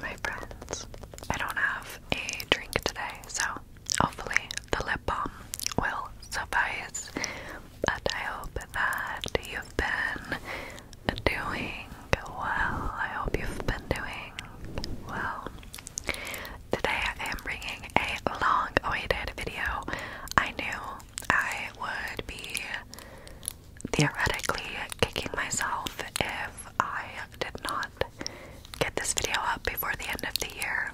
my friends. I don't have a drink today, so hopefully the lip balm will suffice. But I hope that you've been doing well. I hope you've been doing well. Today I am bringing a long awaited video. I knew I would be theoretically kicking myself if I did not get this video up before the end of the year.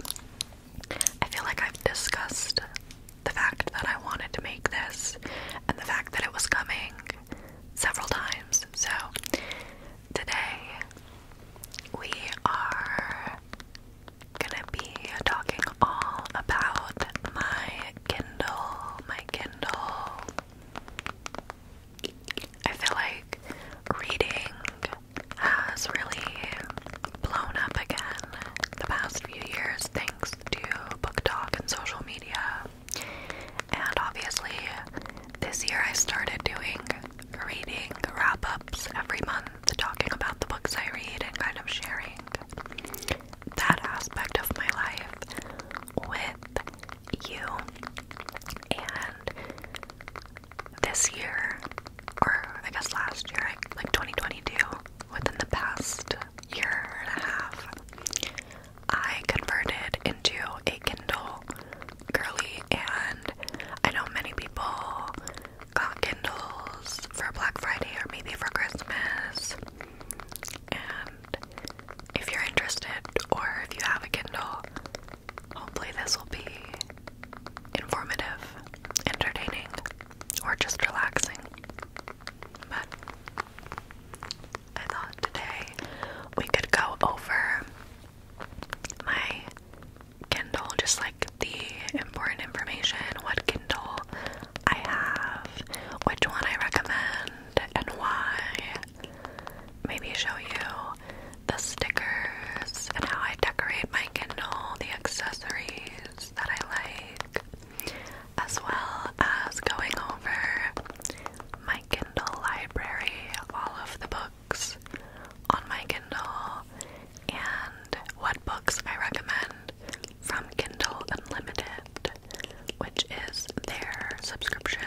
I feel like I've discussed the fact that I wanted to make this and the fact that it was coming several times. So, today we are gonna be talking all about my Kindle, my Kindle. I feel like reading has really blown up again the past few years thanks to book talk and social media. And obviously, this year I started doing reading wrap ups every month, talking about the books I read and kind of sharing that aspect of my life with you. And this year, or I guess last year, like 2022, within the past year and a half, I converted into a Kindle girly. And I know many people got Kindles for Black Friday or maybe for Christmas. And if you're interested or if you have a Kindle, hopefully this will be informative, entertaining, or just relaxing. But I thought today we could go over my Kindle, just like the important information, what Kindle I have, which one I recommend, and why. Maybe show you the stickers and how I decorate my Kindle, the accessories that I like, as well as going over my Kindle library, all of the books on my Kindle, and what books I recommend from Kindle Unlimited which is their subscription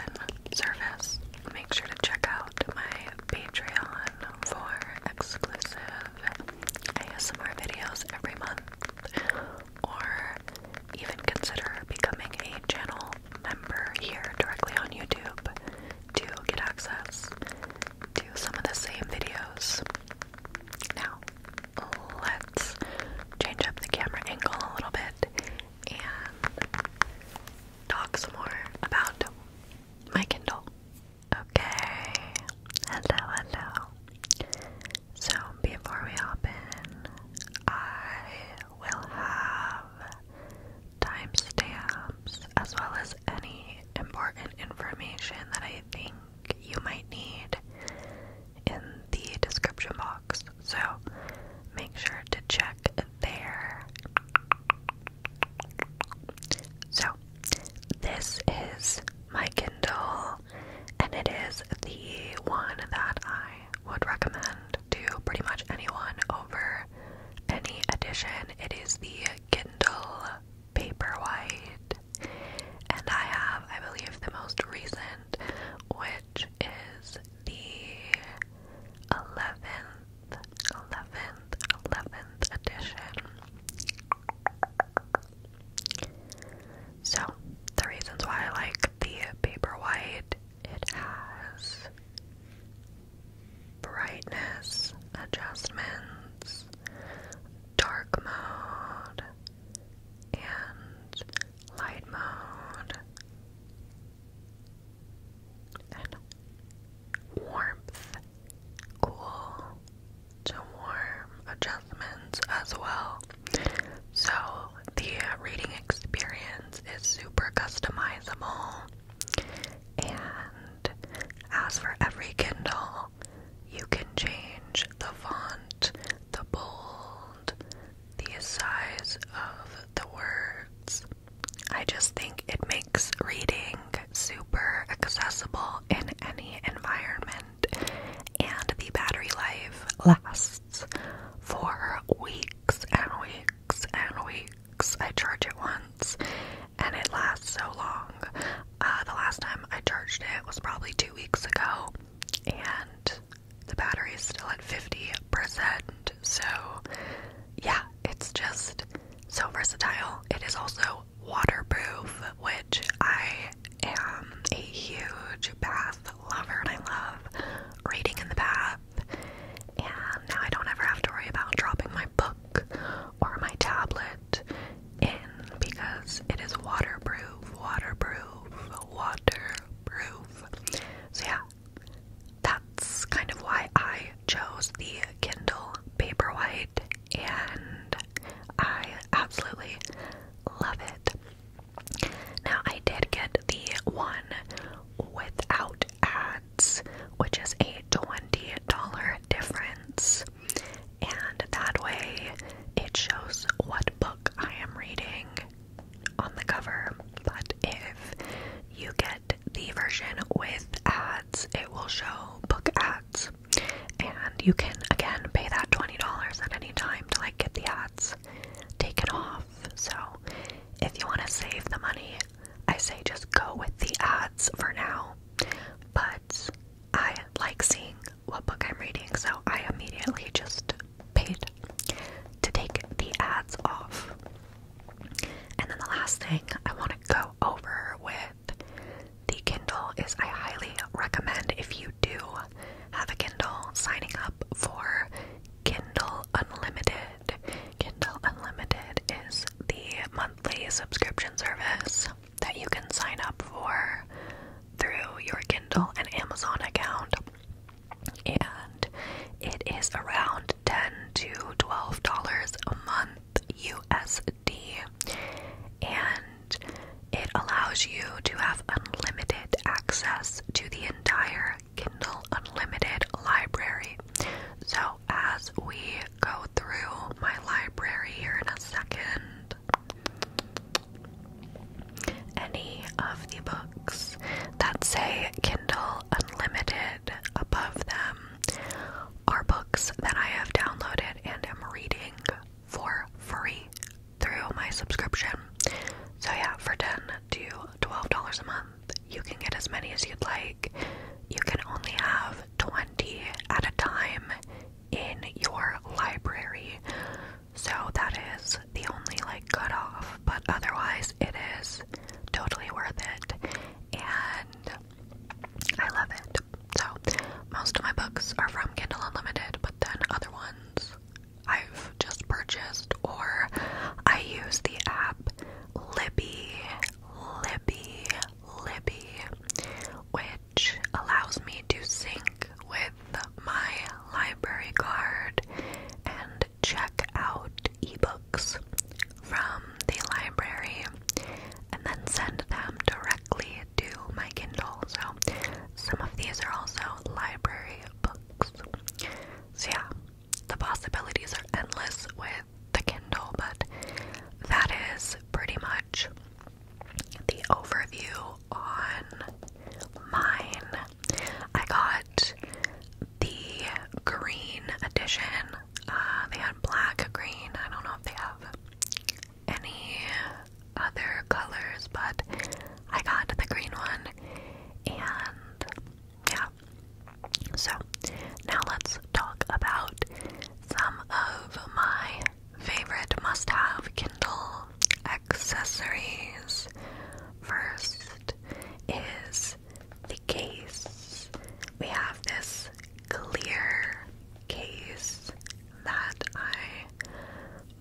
service. Make sure to check out my Patreon for exclusive ASMR videos every month, or even consider becoming a channel member here directly on YouTube to get access to some of the same videos. Now, let's change up the camera angle a little bit and talk some more about my Kindle. Okay. Hello, hello. So, before we open, I will have timestamps as well as any important information that I think you might need in the description box. So make sure to check there. So this is my Kindle and it is the one that I would recommend to pretty much anyone over any edition. It is the Kindle Paperwhite. And I have, I believe, the most recent, which is the 11th, 11th, 11th edition. So, the reasons why I like the Paperwhite, it has brightness adjustments, dark mode, and light mode, and warmth, cool to warm adjustments as well. So the reading experience is super customizable, and as for every Kindle, you can change the font, the bold, the size of the words. I just think it makes reading super accessible in any environment, and the battery life lasts for weeks and weeks and weeks. I charge it once, and it lasts so long. Uh, the last time I charged it was probably two weeks ago, and the battery is still at 50%. So, yeah, it's just so versatile. It is also waterproof, which I am a huge bath lover and I love reading in the bath. And now I don't ever have to worry about dropping my book or my tablet in because it is waterproof, waterproof, waterproof. So, yeah, that's kind of why I chose the Kindle Paperwhite, and I absolutely love it. Now, I did get the one without ads, which is a $20 difference, and that way it shows what book I am reading on the cover, but if you get the version with ads, it will show book ads. And you can again pay that $20 at any time to like get the ads taken off. So if you want to save the money, I say just go with the ads for now. But I like seeing what book I'm reading, so I immediately just paid to take the ads off. And then the last thing I want to go over with the Kindle is I highly recommend if you do have a Kindle signing up for Kindle Unlimited. Kindle Unlimited is the monthly subscription service that you can sign up for through your Kindle and Amazon account and it is around 10 to 12 dollars a month USD and it allows you to have unlimited access to the entire Kindle Unlimited library. So, as we go through my library here in a second, any of the books that say Kindle Unlimited above them are books that I have downloaded and am reading for free through my subscription. So, yeah, for 10 to $12 a month, you can get as many as you'd like. You can only have 20 at a time in your library. So that is the only like off, but otherwise it is totally worth it and I love it. So most of my books are from Kindle Unlimited, but then other ones I've just purchased or I use the app Libby, Libby, Libby, which allows me to sync with my library card and check out ebooks from the library and then send them directly to my Kindle. So, some of these are also library books. So, yeah, the possibilities are endless with the Kindle, but that is pretty much the overview on mine. I got the green edition. Uh, they had black, green. I don't know if they have any other colors, but I got the green one. And yeah. So now let's talk about some of my favorite must have Kindle accessories. First is the case. We have this clear case that I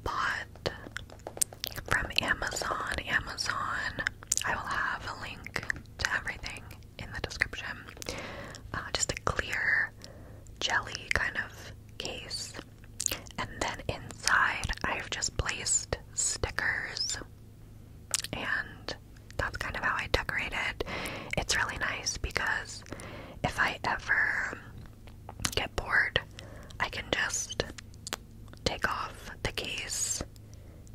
bought from Amazon. Amazon, I will have a link to everything in the description. Uh, just a clear jelly kind of case. And then inside, I've just placed stickers, and that's kind of how I decorate it. It's really nice because if I ever get bored, I can just take off the case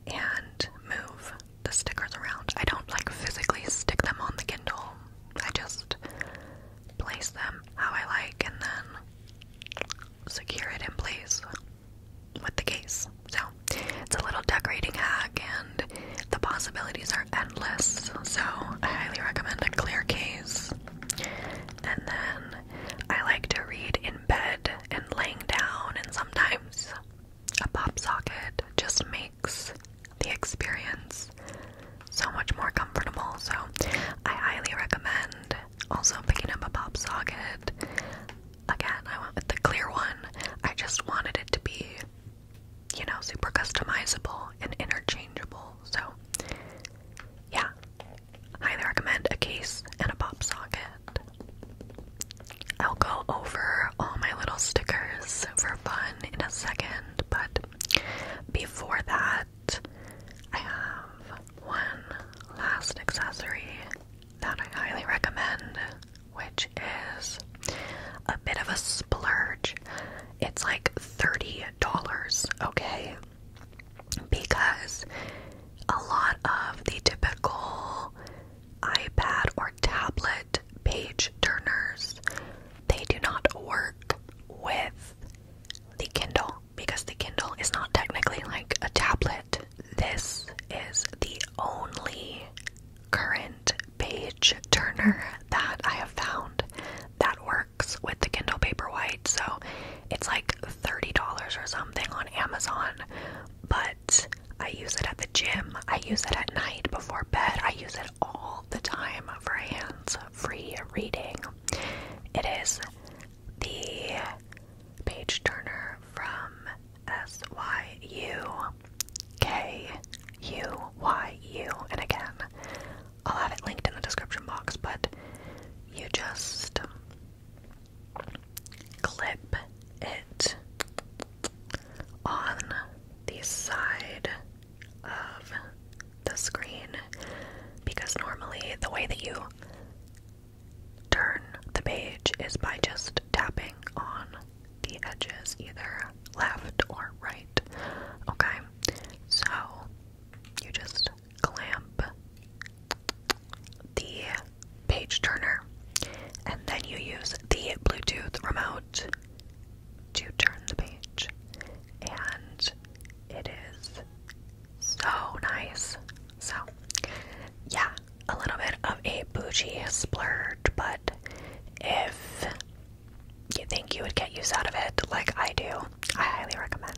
and move the stickers around. I don't like physically stick them on the Kindle, I just place them how I like and then secure it in place with the case. So it's a little decorating hack, and the possibilities are endless. So I highly recommend a clear case. And then I like to read in bed and laying down, and sometimes a pop socket just makes the experience so much more comfortable. So I highly recommend also, picking up a pop socket. Again, I went with the clear one. I just wanted it to be, you know, super customizable and interchangeable. So, yeah. Highly recommend a case and a pop socket. I'll go over all my little stickers for fun in a second, but before that, I have one last accessory that I highly recommend, which is a bit of a splurge. It's like $30, okay? Because a lot of the typical iPad or tablet page turners, they do not work with the Kindle because the Kindle is not technically like a tablet. This is the only current page turner that I have found that works with the Kindle Paperwhite. So it's like $30 or something on Amazon, but I use it at the gym, I use it at night before bed, I use it all the time for hands free reading. It is the page turner from S Y U K U Y U. And again, I'll have it linked in the description box, but you just clip it on the side of the screen because normally the way that you turn the page is by just tapping on the edges, either left or right. Okay, so you just clamp the page turner and then you use the Bluetooth remote to turn the page, and it is so nice. So, yeah, a little bit of a bougie splurge, but if you think you would get use out of it like I do, I highly recommend.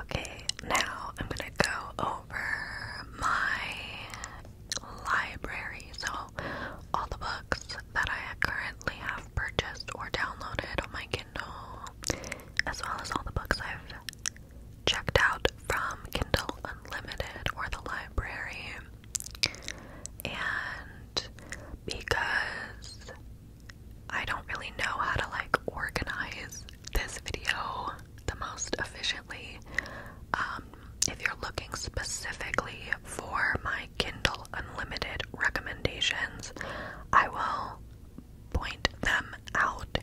Okay, now I'm gonna go over my library. So, all the books that I currently have purchased or downloaded on oh my Kindle, as well as all the books I've checked out from Kindle Unlimited or the library. And because I don't really know how to like organize this video the most efficiently, um, if you're looking specifically for my Kindle Unlimited recommendations, I will point them out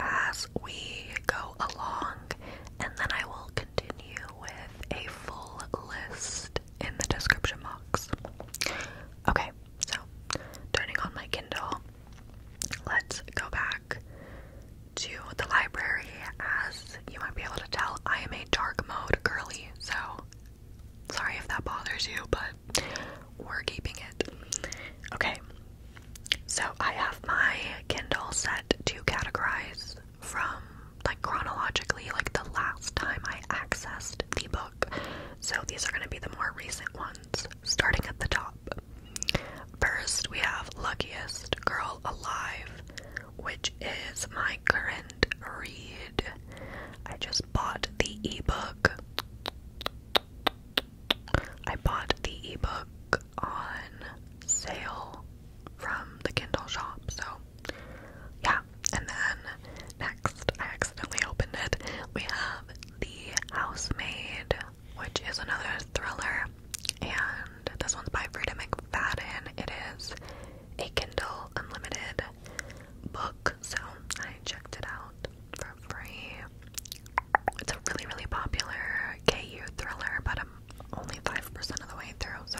as we go along, and then I will continue with a full list in the description box. Okay, so turning on my Kindle, let's go back to the library. As you might be able to tell, I am a dark mode girly, so sorry if that bothers you, but we're keeping it. Okay, so I have my Kindle set to categorize from like chronologically, like the last time I accessed the book. So these are going to be the more recent ones, starting at the top. First, we have Luckiest Girl Alive, which is my current read. I just bought the ebook. I bought the ebook on sale from the Kindle shop, so yeah. And then next, I accidentally opened it. We have The Housemaid, which is another thriller, and this one's by Frida McFadden. It is a Kindle Unlimited book, so I checked it out for free. It's a really, really popular KU thriller, but I'm only 5% of the way through, so.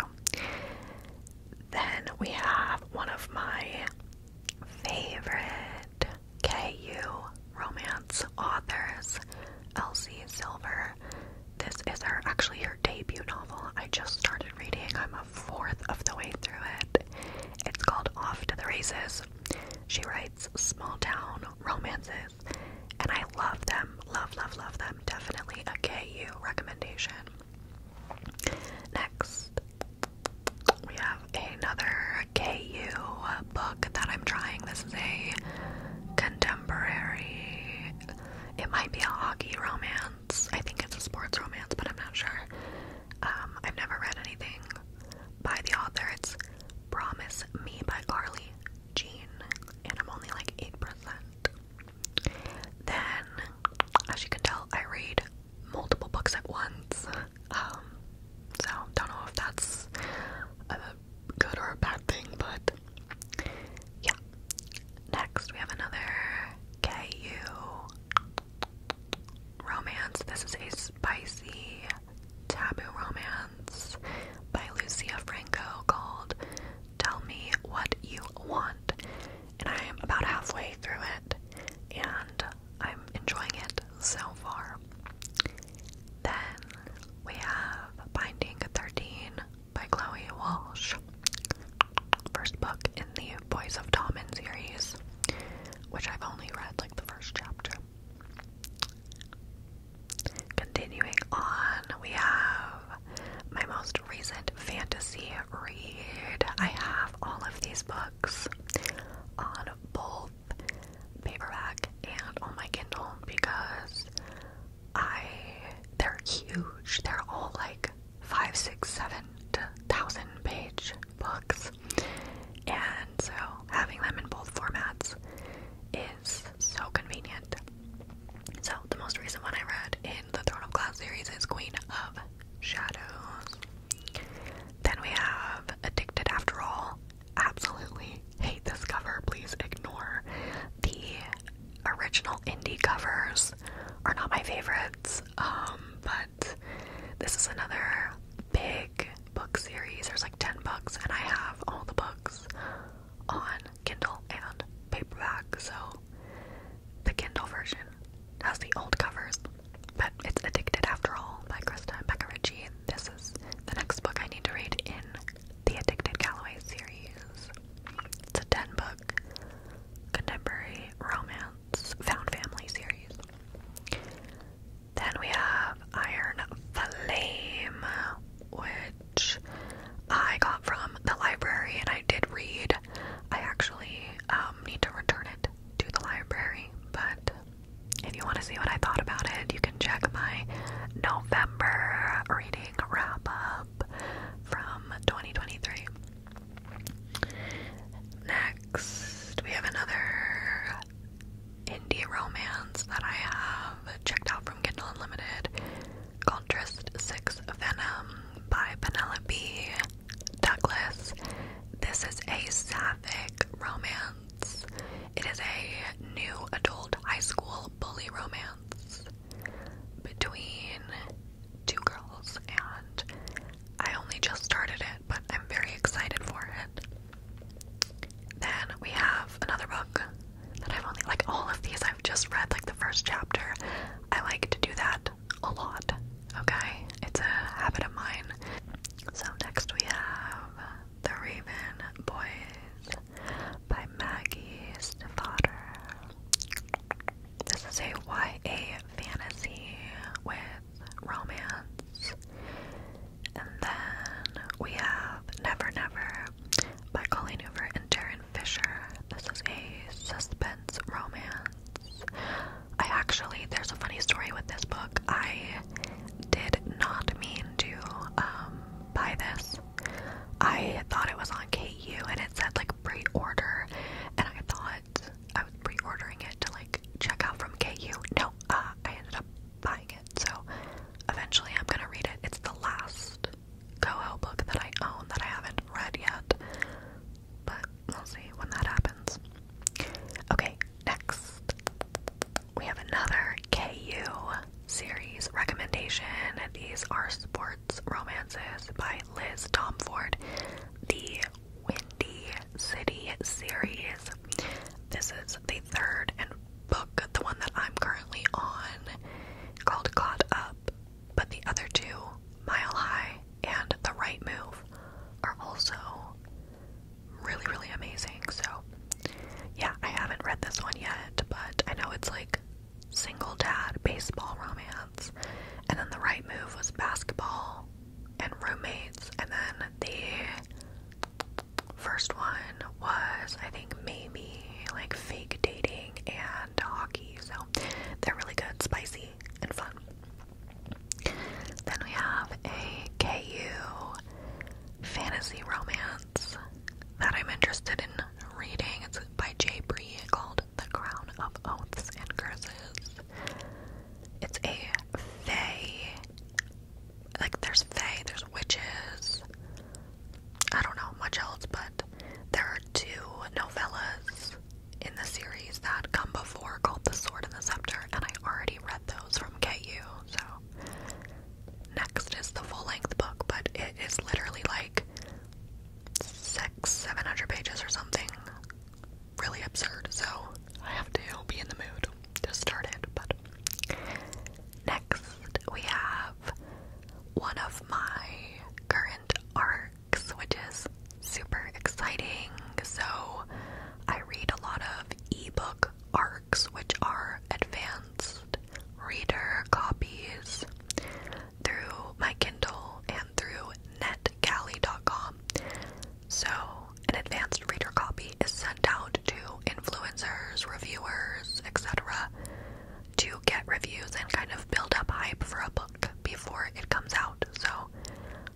Then we have one of my favorite KU romance authors, Elsie Silver. This is her actually her debut novel. I just started reading. I'm a fourth of the way through it. It's called Off to the Races. She writes small town romances, and I love them. Love, love, love them. Definitely a KU recommendation. Next, we have another KU book that I'm trying. This is a contemporary, it might be a hockey romance. I think it's a sports romance, but I'm not sure. Um, I've never read anything by the author. It's Promise Me by Carly Jean, and I'm only like 8%. Then, as you can tell, I read multiple books at once. Um, so, don't know if that's a good or a bad thing, but yeah. Next, we have another KU romance. This is a spicy taboo romance by Lucia Franco called Tell Me What You Want. And I am about halfway through it and I'm enjoying it so far. Then we have Binding 13 by Chloe Walsh. First book in the Boys of Tommen series, which I've only read like the first chapter. Continuing on, we have my most recent fantasy read. I have all of these books on both paperback and on my Kindle because I they're huge. They're all like five, six, seven to thousand page books. And so having them in both formats is so convenient. So the most recent one I read in the Throne of Glass series is Queen of Shadows. Then we have Addicted After All. Absolutely hate this cover. Please ignore. The original indie covers are not my favorites, um, but this is another big book series. There's like 10 books, and I have all the books on Kindle and paperback. So the Kindle version has the old covers, but it's Addicted After All by Krista and Ritchie. This is the next book I need to read in the Addicted Calloway series. It's a 10 book contemporary romance found family series. Then we have Iron Flame, which I got from the library and I did read. I actually um, need to return it to the library, but if you want to see what I thought about it, you can check my November reading wrap up from 2023. Next, we have another indie romance that I have checked out from Kindle Unlimited Contrast Trist Six Venom by Penelope Douglas. This is a sapphic romance. It is a new adult high school bully romance between two girls, and I only just started it, but I'm very excited for it. Then we have another book that I've only like all of these I've just read like the first chapter. I like to do that a lot. Okay? It's a habit of mine. So next we have The Raven Boys by Maggie Stiefvater. This is a YA fantasy with romance and then we have Never Never by Colleen Hoover and Darren Fisher. This is a suspense romance. I actually, there's a funny story with this book. I did not mean to um, buy this. I thought it was on KU and it said like pre order, and I thought I was pre ordering it to like check out from KU. No, so uh, I ended up buying it. So eventually I'm gonna read it. It's the last Coho book that I own that I haven't read yet. But we'll see when that happens. Okay, next we have another KU series recommendation. These are sports romances by Liz Tomford. The Windy City series. This is the third and book, the one that I'm currently on, called Caught Up, but the other two, Mile High and The Right Move, are also really, really amazing. So, yeah, I haven't read this one yet, but I know it's like single dad baseball romance, and then The Right Move was basketball and roommates, and then the First one was, I think, maybe like fake dating and hockey. So they're really good, spicy, and fun. Then we have a KU fantasy romance that I'm interested in reading. It's by Jay Bree called The Crown of Oaths and Curses. It's a fae like there's Fey, there's witches. I don't know much else, but there are two novellas in the series that come before called The Sword and the Scepter, and I already read those from KU. So next is the full-length book, but it is literally like six, seven hundred pages or something really absurd, so I have to be in the mood to start it. But next, we have one of my current arcs, which is super exciting. So, I read a lot of ebook arcs, which are advanced reader copies through my Kindle and through netgalley.com. So, an advanced reader copy is sent out to influencers, reviewers, etc., to get reviews and kind of build up hype for a book before it comes out. So,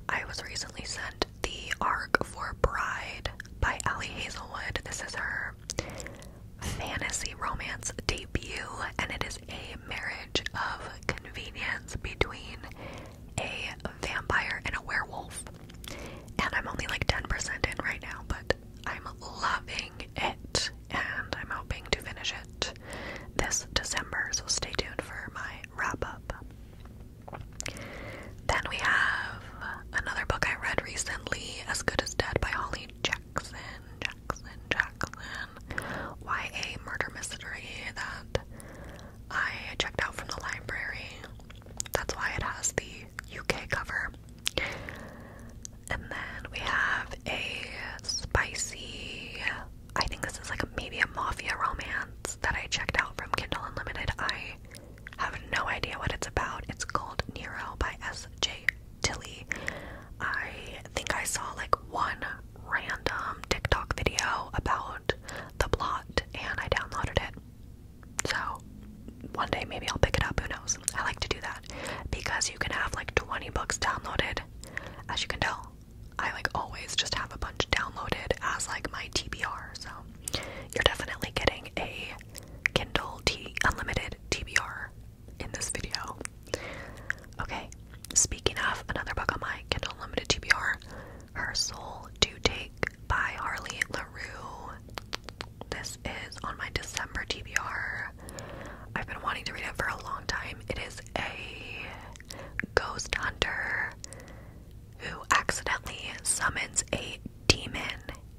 I was recently sent The Arc for Bride by Allie Hazelwood. This is her fantasy romance debut, and it is a marriage of convenience between a vampire and a werewolf. And I'm only like 10% in right now, but I'm loving it and I'm hoping to finish it this December, so stay tuned for my wrap up. Then we have another book I read recently, As Good as Dead by Holly Jackson. Jackson, Jackson. YA murder mystery that I checked out from the library. That's why it has the UK cover. And then we have a spicy, I think this is like maybe a mafia romance that I checked out from Kindle Unlimited. I have no idea what it's about. It's called Nero by S.J. Tilly. I think I saw like one random TikTok video about the plot and I downloaded it. So one day maybe I'll pick it up, who knows? I like to do that because you can have like 20 books downloaded. As you can tell, I like always just have a bunch downloaded as like my TBR. So you're definitely getting a Kindle T unlimited TBR in this video. Okay, speaking of another book on my Kindle Unlimited TBR, Her Soul Due take by Harley LaRue. This is on my December TBR. I've been wanting to read it for a long time. It is a ghost hunter who accidentally summons a demon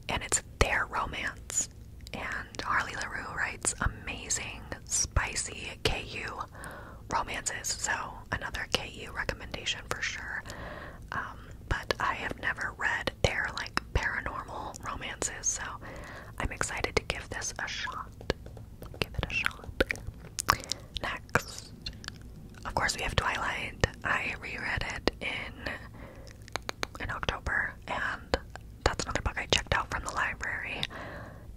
and it's their romance. And Harley LaRue writes amazing, spicy KU romances. So, another KU recommendation for sure. Um, um, but I have never read their like paranormal romances, so I'm excited to give this a shot. Give it a shot. Next, of course, we have Twilight. I reread it in in October, and that's another book I checked out from the library.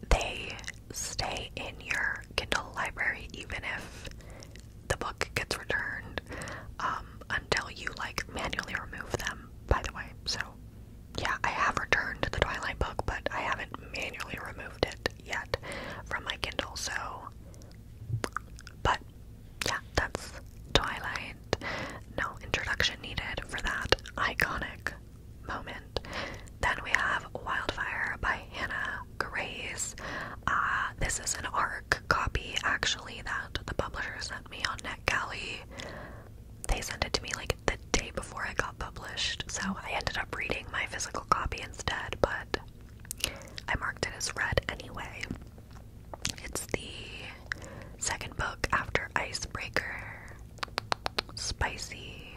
They stay in your Kindle library even if the book gets returned um, until you like manually remove them, by the way. So, yeah, I have returned the Twilight book, but I haven't manually removed it yet from my Kindle, so. But, yeah, that's Twilight. No introduction needed for that iconic moment. Then we have Wildfire by Hannah Grace. Uh, this is an ARC copy actually that the publisher sent me on NetGalley. They sent it to me like the day before it got published, so I ended up reading my physical copy instead, but I marked it as read anyway. It's the second book after Icebreaker, spicy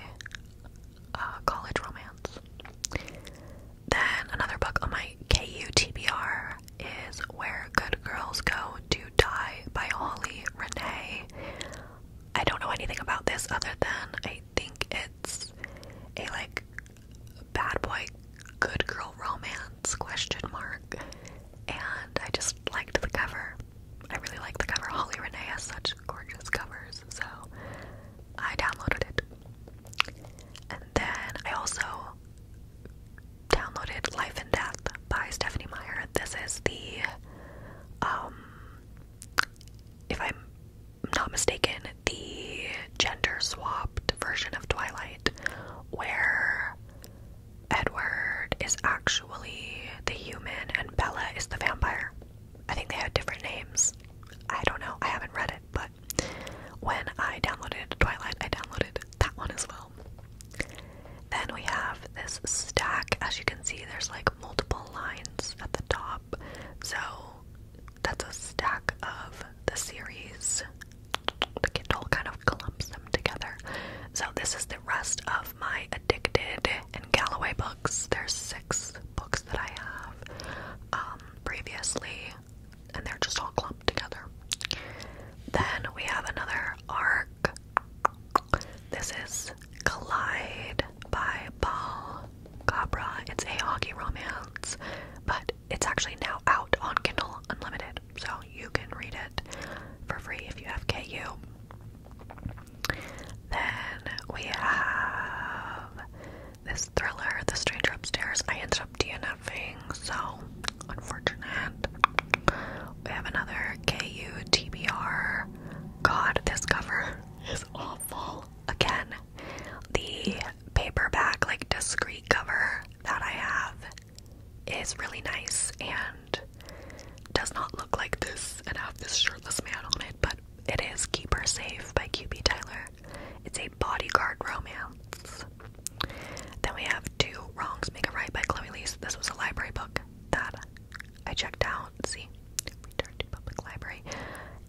uh, college romance. Then another book on my KUTBR is Where Good Girls Go to Die by Holly Renee. I don't know anything about this other than I think it's a like bad boy good girl romance question mark. And I just liked the cover. I really like the cover. Holly Renee has such gorgeous covers, so I downloaded it. And then I also downloaded Life and Death by Stephanie Meyer. This is the, um, if I'm not mistaken, the gender swapped version of Twilight where Edward is actually the human and Bella is the vampire. I think they had different names. I don't know, I haven't read it, but when I downloaded Twilight, I downloaded that one as well. Then we have this stack. As you can see, there's like multiple lines at the top. So that's a stack of the series. Kindle kind of clumps them together. So this is the rest of my Addicted and Galloway books. There's six books that I have um, previously and they're just all clumped together. Then we have another arc. This is Collide by Paul Cabra. It's a hockey romance, but it's actually now out on Kindle Unlimited, so you can read it for free if you have KU. Then we have this thriller, The Stranger Upstairs, I ended up DNFing, so unfortunate. We have another KU TBR. God, this cover is awful. Again, the paperback, like discreet cover that I have is really nice and does not look like this and have this shirtless man on it, but it is Keep Her Safe by QB Tyler. It's a bodyguard romance. Then we have Two Wrongs Make a Right by Chloe Lee. This was a library book that I checked out. See, return to public library.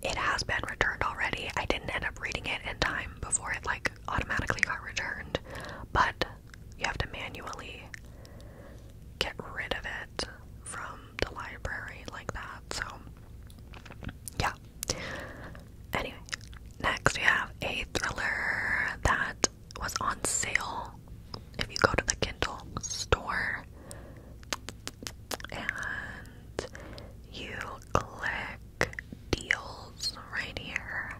It has been returned already. I didn't end up reading it in time before it like automatically got returned, but you have to manually get rid of it from the library like that. So yeah, Anyway, next we have a thriller that was on sale if you go to the Kindle store and you click deals right here.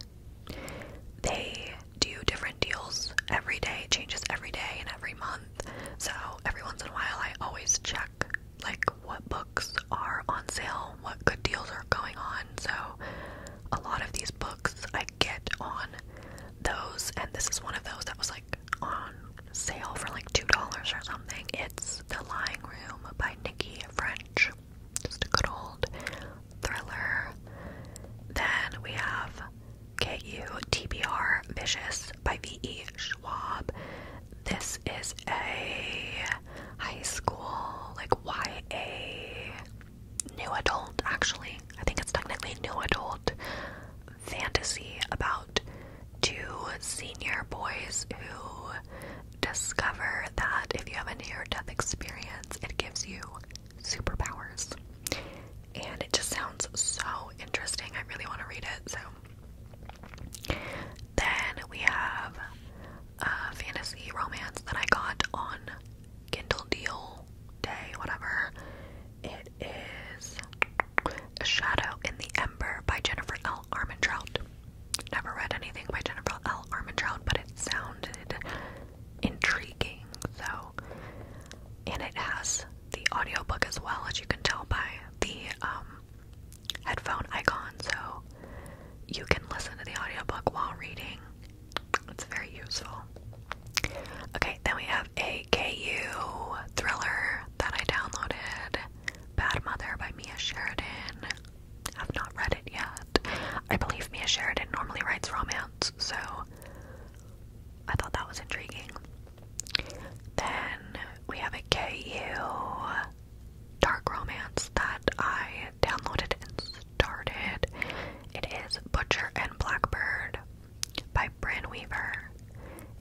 They do different deals every day, changes every day and every month. So every once in a while I always check like what books are on sale, what good deals are going on. So, a lot of these books I get on those, and this is one of those that was like on sale for like $2 or something. It's The Lying Room by Nikki French. Just a good old thriller. Then we have KU TBR Vicious by V.E. Schwab. This is a high school, like YA, new adult, actually. I think it's technically new adult fantasy about two senior boys who discover that if you have a near death experience, it gives you superpowers. And it just sounds so interesting. I really want to read it. So, then we have a fantasy romance that I got on Kindle Deal Day, whatever. It is A Shadow in the Ember by Jennifer L. Armentrout. Never read anything by Jennifer L. Armentrout, but it sounded intriguing, so. And it has the audiobook as well, as you can tell by the um, headphone icon so you can listen to the audiobook while reading. It's very useful. Okay, then we have a KU thriller that I downloaded Bad Mother by Mia Sheridan. I've not read it yet. I believe Mia Sheridan normally writes romance, so I thought that was intriguing. Then we have a KU dark romance that I downloaded and started. It is Butcher and Blackbird by Bran Weaver,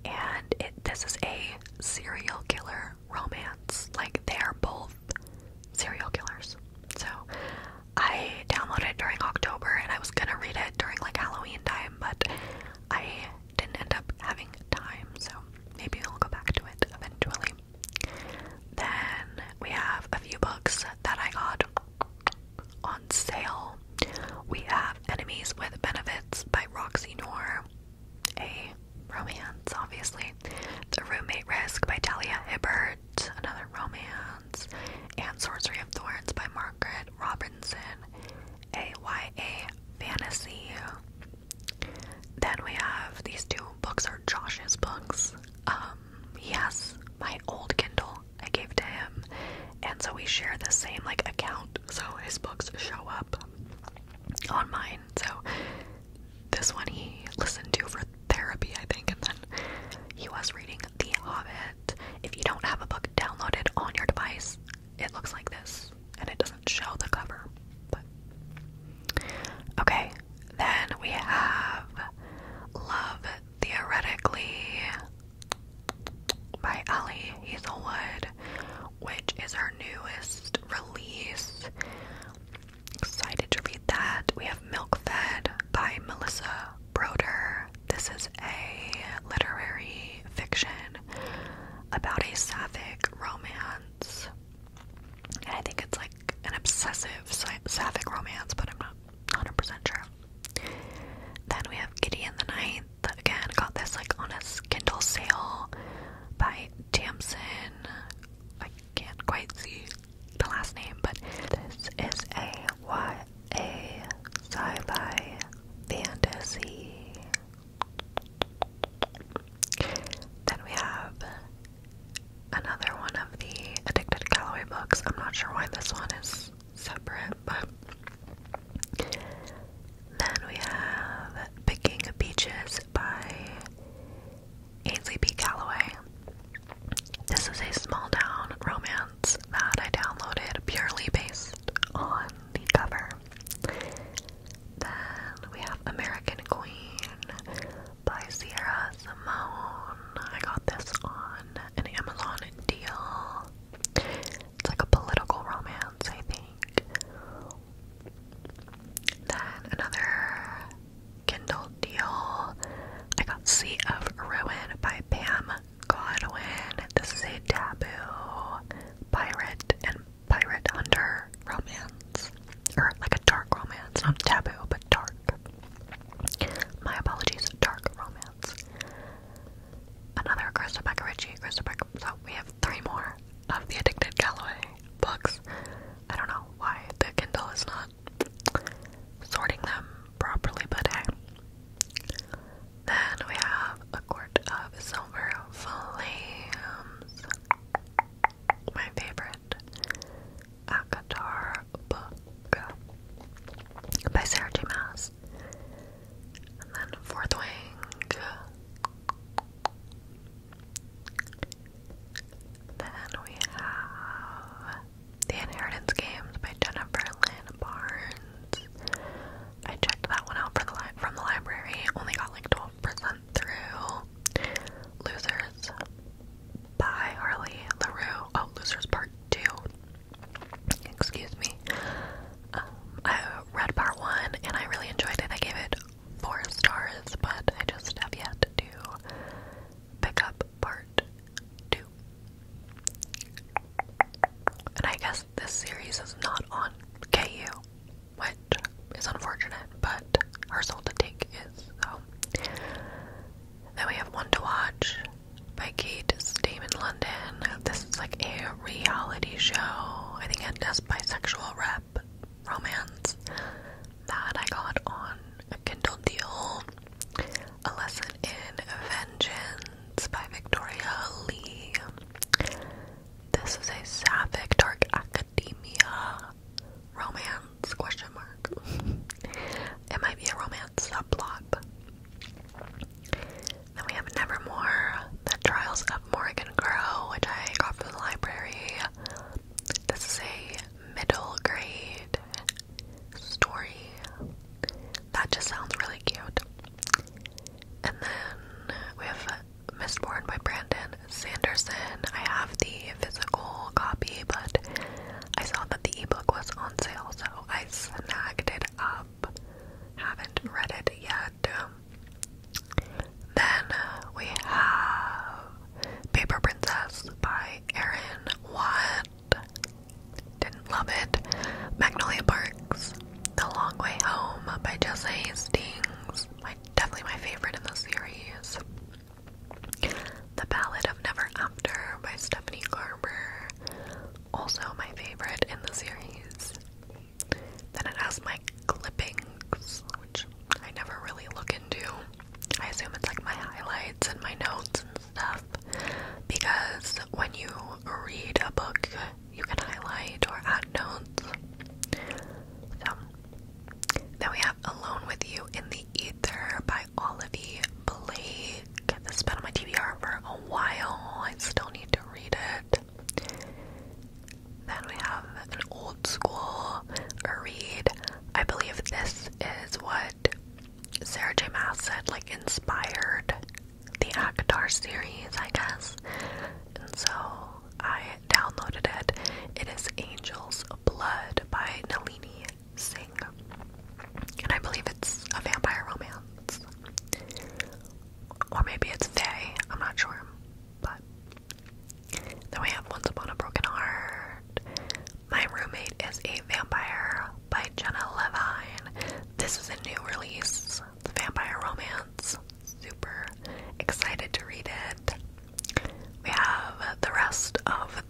and it this is a serial killer romance. Like they are both serial killers. So I downloaded during October, and I was gonna read it during like Halloween time, but I didn't end up having time, so maybe I'll go back to it eventually. Then we have a few books that I got on sale. We have Enemies with Benefits by Roxy Nor, a romance, obviously. The Roommate Risk by Delia Hibbert, another romance. And Sorcery of Thorns by Margaret Robinson, a YA fantasy. Then we have these two books are Josh's books. Um, he has my old Kindle I gave to him, and so we share the same like account, so his books show up on mine. So this one he listened to for therapy, I think, and then he was reading The Hobbit. If you don't have a book downloaded on your device, it looks like this and it doesn't show the cover. But okay, then we have Love Theoretically by Ellie Hazelwood, which is her newest release. Excited to read that. We have Milk Fed by Melissa Broder. This is a literary fiction about a sapphic romance and I think it's like an obsessive sapphic romance, but I'm not 100% sure. Then we have Gideon the Ninth. Again, got this like on a Kindle sale by Damson. I can't quite see the last name, but this is a YA sci-fi fantasy then we have another one of the Addicted to books. I'm not sure why this one is separate, but then we have Picking Peaches by Ainsley B. Calloway. This is a small town romance that I downloaded purely based on the cover. Then we have American Queen by Sierra Simone. I got this on an Amazon deal. It's like a political romance, I think. Then another Kindle deal. I got Sea of Ruin by Pam Godwin. This is a taboo pirate and pirate hunter romance. Or like a dark romance. Not taboo, but dark. My apologies, dark romance. Another Krista Becker Ritchie, So we have three more of the Addicted Galloway books. I don't know why the Kindle is not sorting them properly, but hey. Then we have A Quart of Silver Flames my favorite Akatar uh, book by Sarah J. Maas. And then Fourth Wing. Then we have The Inheritance Games by Jennifer Lynn Barnes. I checked that one out for the from the library. Only got like 12% through Losers by Harley LaRue. Oh, Losers Part 2. Excuse me. Um, I read part one and I really enjoyed it. I gave it four stars, but I just have yet to pick up part two. And I guess this series is not on KU which is unfortunate, but her soul to take is so. Then we have One to Watch by Kate Stamen London. This is like a reality show. I think it bisexual rep romance that I got on a Kindle deal. A Lesson in Vengeance by Victoria Lee. This is a sapphic dark academia romance question mark. it might be a romance subplot. Then we have Nevermore, The Trials of Morgan Crow, which I got from the library. This is a middle grade story. That just sounds really cute. And then we have Mist Born by Brandon Sanderson. I have the physical copy, but I saw that the ebook was on sale, so I snagged it up. Haven't read it yet. Then we have Paper Princess by Erin Watt. Didn't love it. Magnolia Parks. The Long Way Home by Jesse Hastings my definitely my favorite in the series. The Ballad of Never After by Stephanie Garber, also my favorite in the series. Then it has my clippings, which I never really look into. I assume it's like my highlights and my notes and stuff. Because when you read a book, you can highlight or add notes. Then we have Alone With You in the Ether by Olivia Blake. This has been on my TBR for a while. I still need to read it. Then we have an old school read. I believe this is what Sarah J. Maas said, like inspired the Akhtar series, I guess. And so I downloaded it. It is Angel's Blood by Nalini Singh. And I believe it's a vampire romance. Or maybe it's Faye, I'm not sure. But then we have Once Upon a Broken Heart. My Roommate is a Vampire by Jenna Levine. This is a new release, the Vampire Romance super excited to read it. We have the rest of the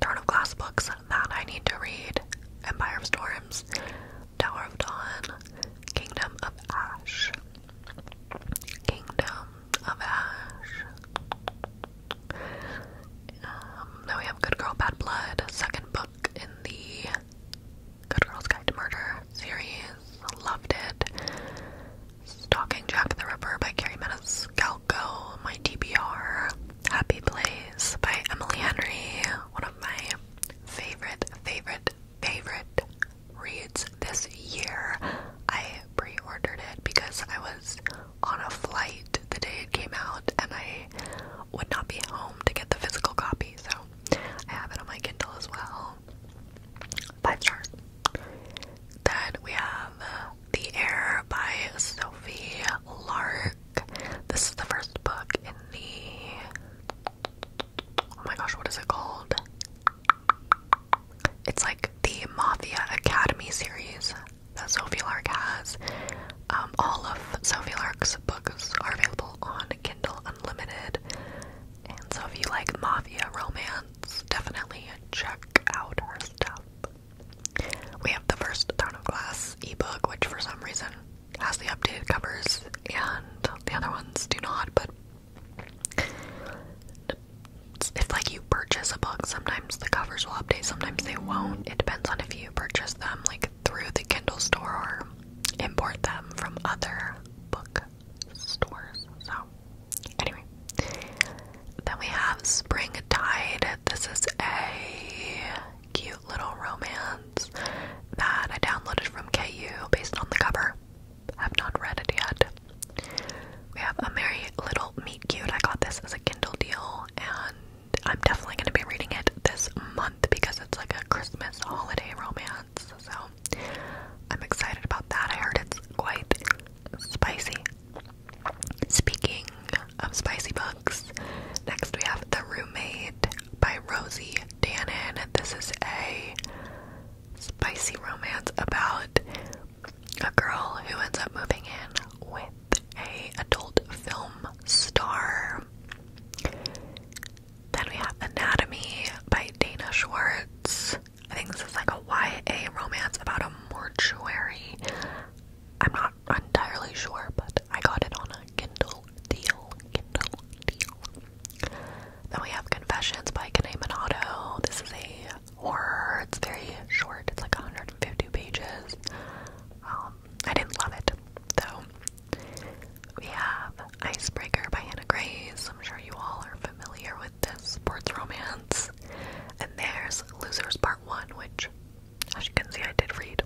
Throne of Glass books that I need to read Empire of Storms, Tower of Dawn, Kingdom of Ash, Kingdom of Ash. Um, we have Good Girl Bad Blood, second book in the Good Girls Guide to Murder series. Loved it. Stalking Jack the River by Carrie Maniscalco. My TBR. Happy Place by Emily Henry. One of my favorite, favorite, favorite reads this year. I pre-ordered it because I was on a flight the day it came out and I would not be home to get the physical copy, so I have it on my Kindle as well. Five stars. Then we have uh, The Air by Sophie Lark. This is the first book in the. Oh my gosh, what is it called? It's like the Mafia Academy series that Sophie Lark has. Um, all of Sophie Lark's books are available on Kindle Unlimited. And so if you like mafia romance, definitely check out our stuff. We have the first Throne of Glass ebook, which for some reason has the updated covers, and the other ones do not, but if like you purchase a book, sometimes the covers will update, sometimes they won't. It depends on if you purchase them like through the Kindle store or import them from other book stores. So, anyway, then we have Spring Springtide. This is a cute little romance that I downloaded from KU based on the cover. I've not read it yet. We have a merry little meet cute. I got this as a Kindle deal, and I'm definitely going to be reading it this month because it's like a Christmas holiday romance. So I'm excited about that. I heard it's quite spicy. Speaking of spicy books, next we have The Roommate by Rosie Dannon. This is a spicy romance about a girl who ends up moving in with a adult film star. Then we have Anatomy by Dana Schwartz. I think this is like a YA romance about a mortuary. I'm not entirely sure, but I got it on a Kindle deal. Kindle deal. Then we have Confessions by Kane Minato. This is a horror. It's very short. It's like 150 pages. Um, I didn't love it, though we have Icebreaker by Hannah Grace. I'm sure you all are familiar with this sports romance. And there's Losers Part 1, which, as you can see, I did read.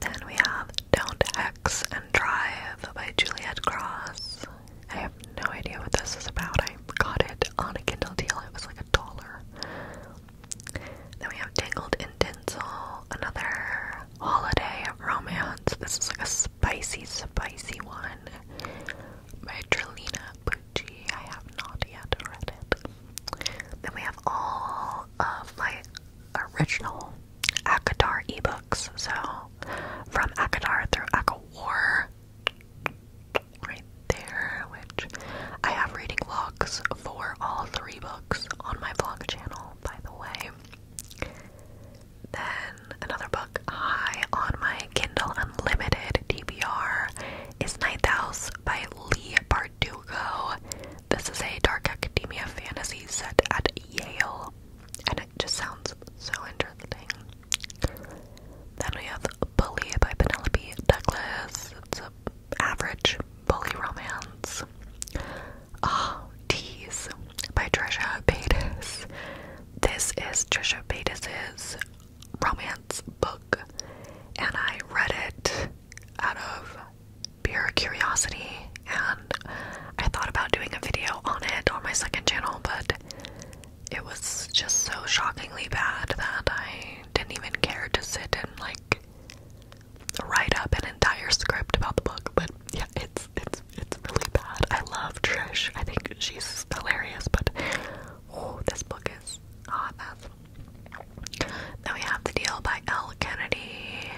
Then we have Don't X and Drive by Juliet Cross. I have no idea what this is about. I got it on a Kindle deal, it was like a dollar. Then we have Tangled in Tinsel, another Holiday Romance. This is like a spicy, spicy one by Trelina Bucci. I have not yet read it. Then we have all of my original Akatar ebooks. So from Akatar through Akawar. Right there, which I have reading vlogs for all three books on my vlog channel, by the way. Then another book high on my Kindle Unlimited DBR is Ninth House by Lee Bardugo. This is a dark academia fantasy set at Yale, and it just sounds so interesting. Then we have Bully by Penelope Douglas. It's an average bully romance. Oh, teas by Trisha Paytas. This is Trisha Paytas's romance book, and I read it out of pure curiosity, and I thought about doing a video on it on my second channel, but it was just so shockingly bad that I didn't even care to sit and like write up an entire script about the book. But yeah, it's it's it's really bad. I love Trish. I think she's hilarious, but oh, this book is hot mess. Then we have The Deal by L. Kennedy.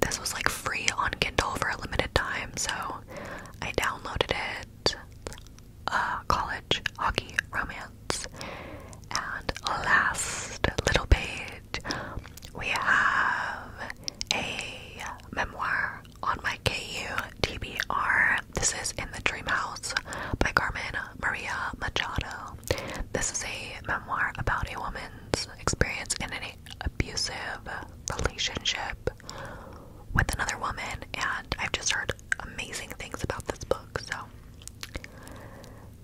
This was like free on Kindle for a limited time, so I downloaded it. Uh, college hockey romance. And last, Little Page we have a memoir on my KU TBR. This is In the Dream House by Carmen Maria Machado. This is a memoir about a woman's experience in an abusive relationship with another woman, and I've just heard amazing things about this book, so.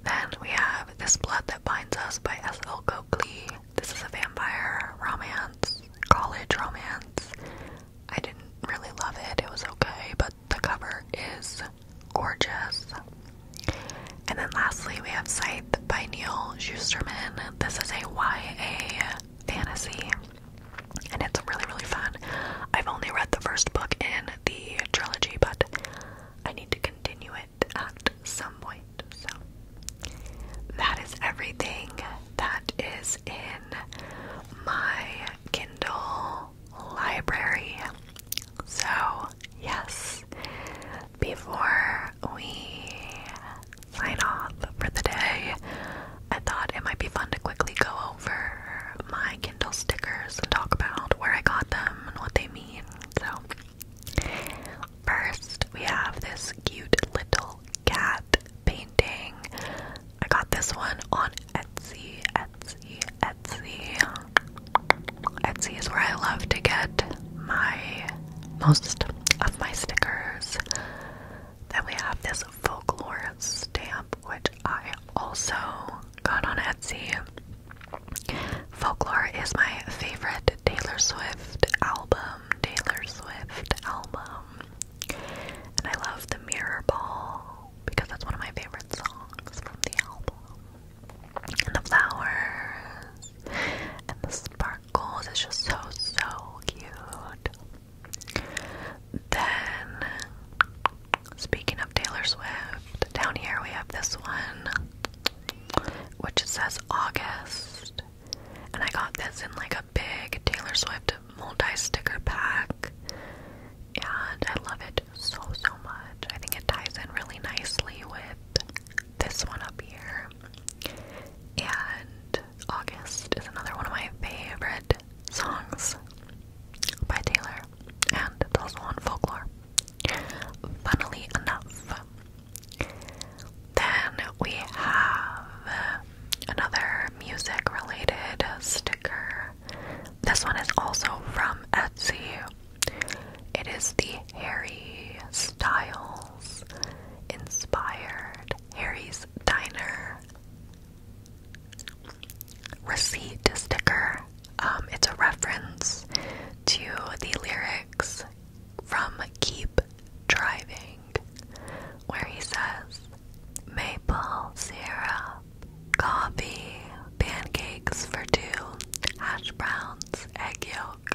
Then we have This Blood That Binds Us by S.L. Coakley. This is a vampire romance, college romance. I didn't really love it, it was okay, but the cover is gorgeous. And then lastly, we have Scythe by Neil Schusterman. This is a YA fantasy, and it's really, really fun. I've only read the first book in the trilogy, but I need to continue it at some point. So, that is everything that is in my Kindle library. So, yes, before we sign off for the day, I thought it might be fun to quickly go over my Kindle stickers and talk about where I got them and what they mean. So, First, we have this cute little cat painting. I got this one on Etsy, Etsy, Etsy. Etsy is where I love to get my most of my stickers. Then we have this folklore stamp, which I also got on Etsy. Folklore is my favorite Taylor Swift album. Taylor Swift album. And I love The Mirror Ball because that's one of my favorite songs from the album. And the flowers and the sparkles. It's just so, so cute. Then, speaking of Taylor Swift, down here we have this one, which says August. And I got this in like a big Taylor Swift multi sticker pack. And I love it so, so much. I think it ties in really nicely with this one up here. And August is another one of my favorite songs by Taylor. And it's also on folklore. Funnily enough, then we have another music related sticker. This one is also from Etsy. It is the Harry Styles inspired Harry's Diner receipt sticker. Um, it's a reference to the lyrics from Keep Driving, where he says, Maple syrup, coffee, pancakes for two, hash browns, egg yolk.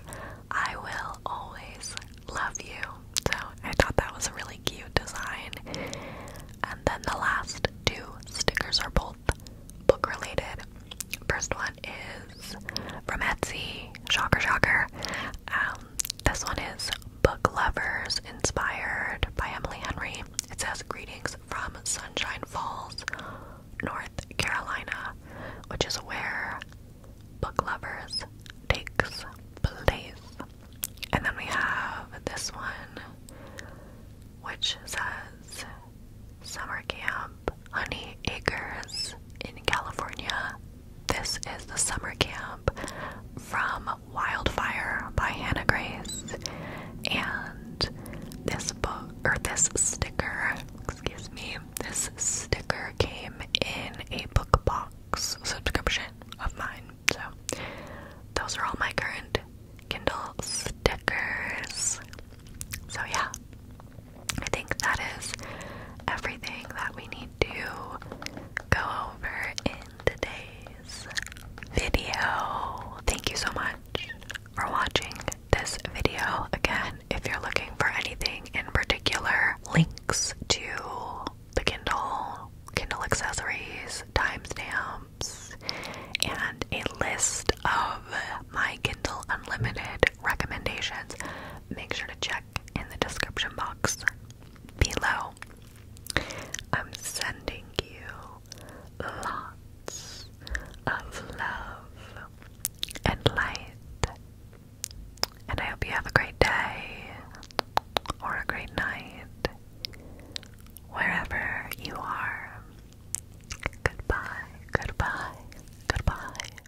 I will always love you. So I thought that was a really cute design. And then the last two stickers are both book related. First one is from Etsy. Shocker, shocker. Um, this one is Book Lovers, inspired by Emily Henry. It says, Greetings from Sunshine Falls, North Carolina, which is where Book Lovers takes place. And then we have this one, which says, Summer Camp, Honey Acres in California, this is the summer camp from Wildfire by Hannah Grace. And this book or this sticker, excuse me, this sticker came in a book box subscription of mine. So those are all my current Kindle stickers. So yeah, I think that is everything that we need to go over in today's video. Thank you so much for watching this video. Again, if you're looking for anything in particular, links to the Kindle, Kindle accessories, timestamps, and a list of my Kindle Unlimited recommendations make sure to check in the description box below. I'm sending you lots of love and light, and I hope you have a great day or a great night wherever you are. Goodbye, goodbye, goodbye.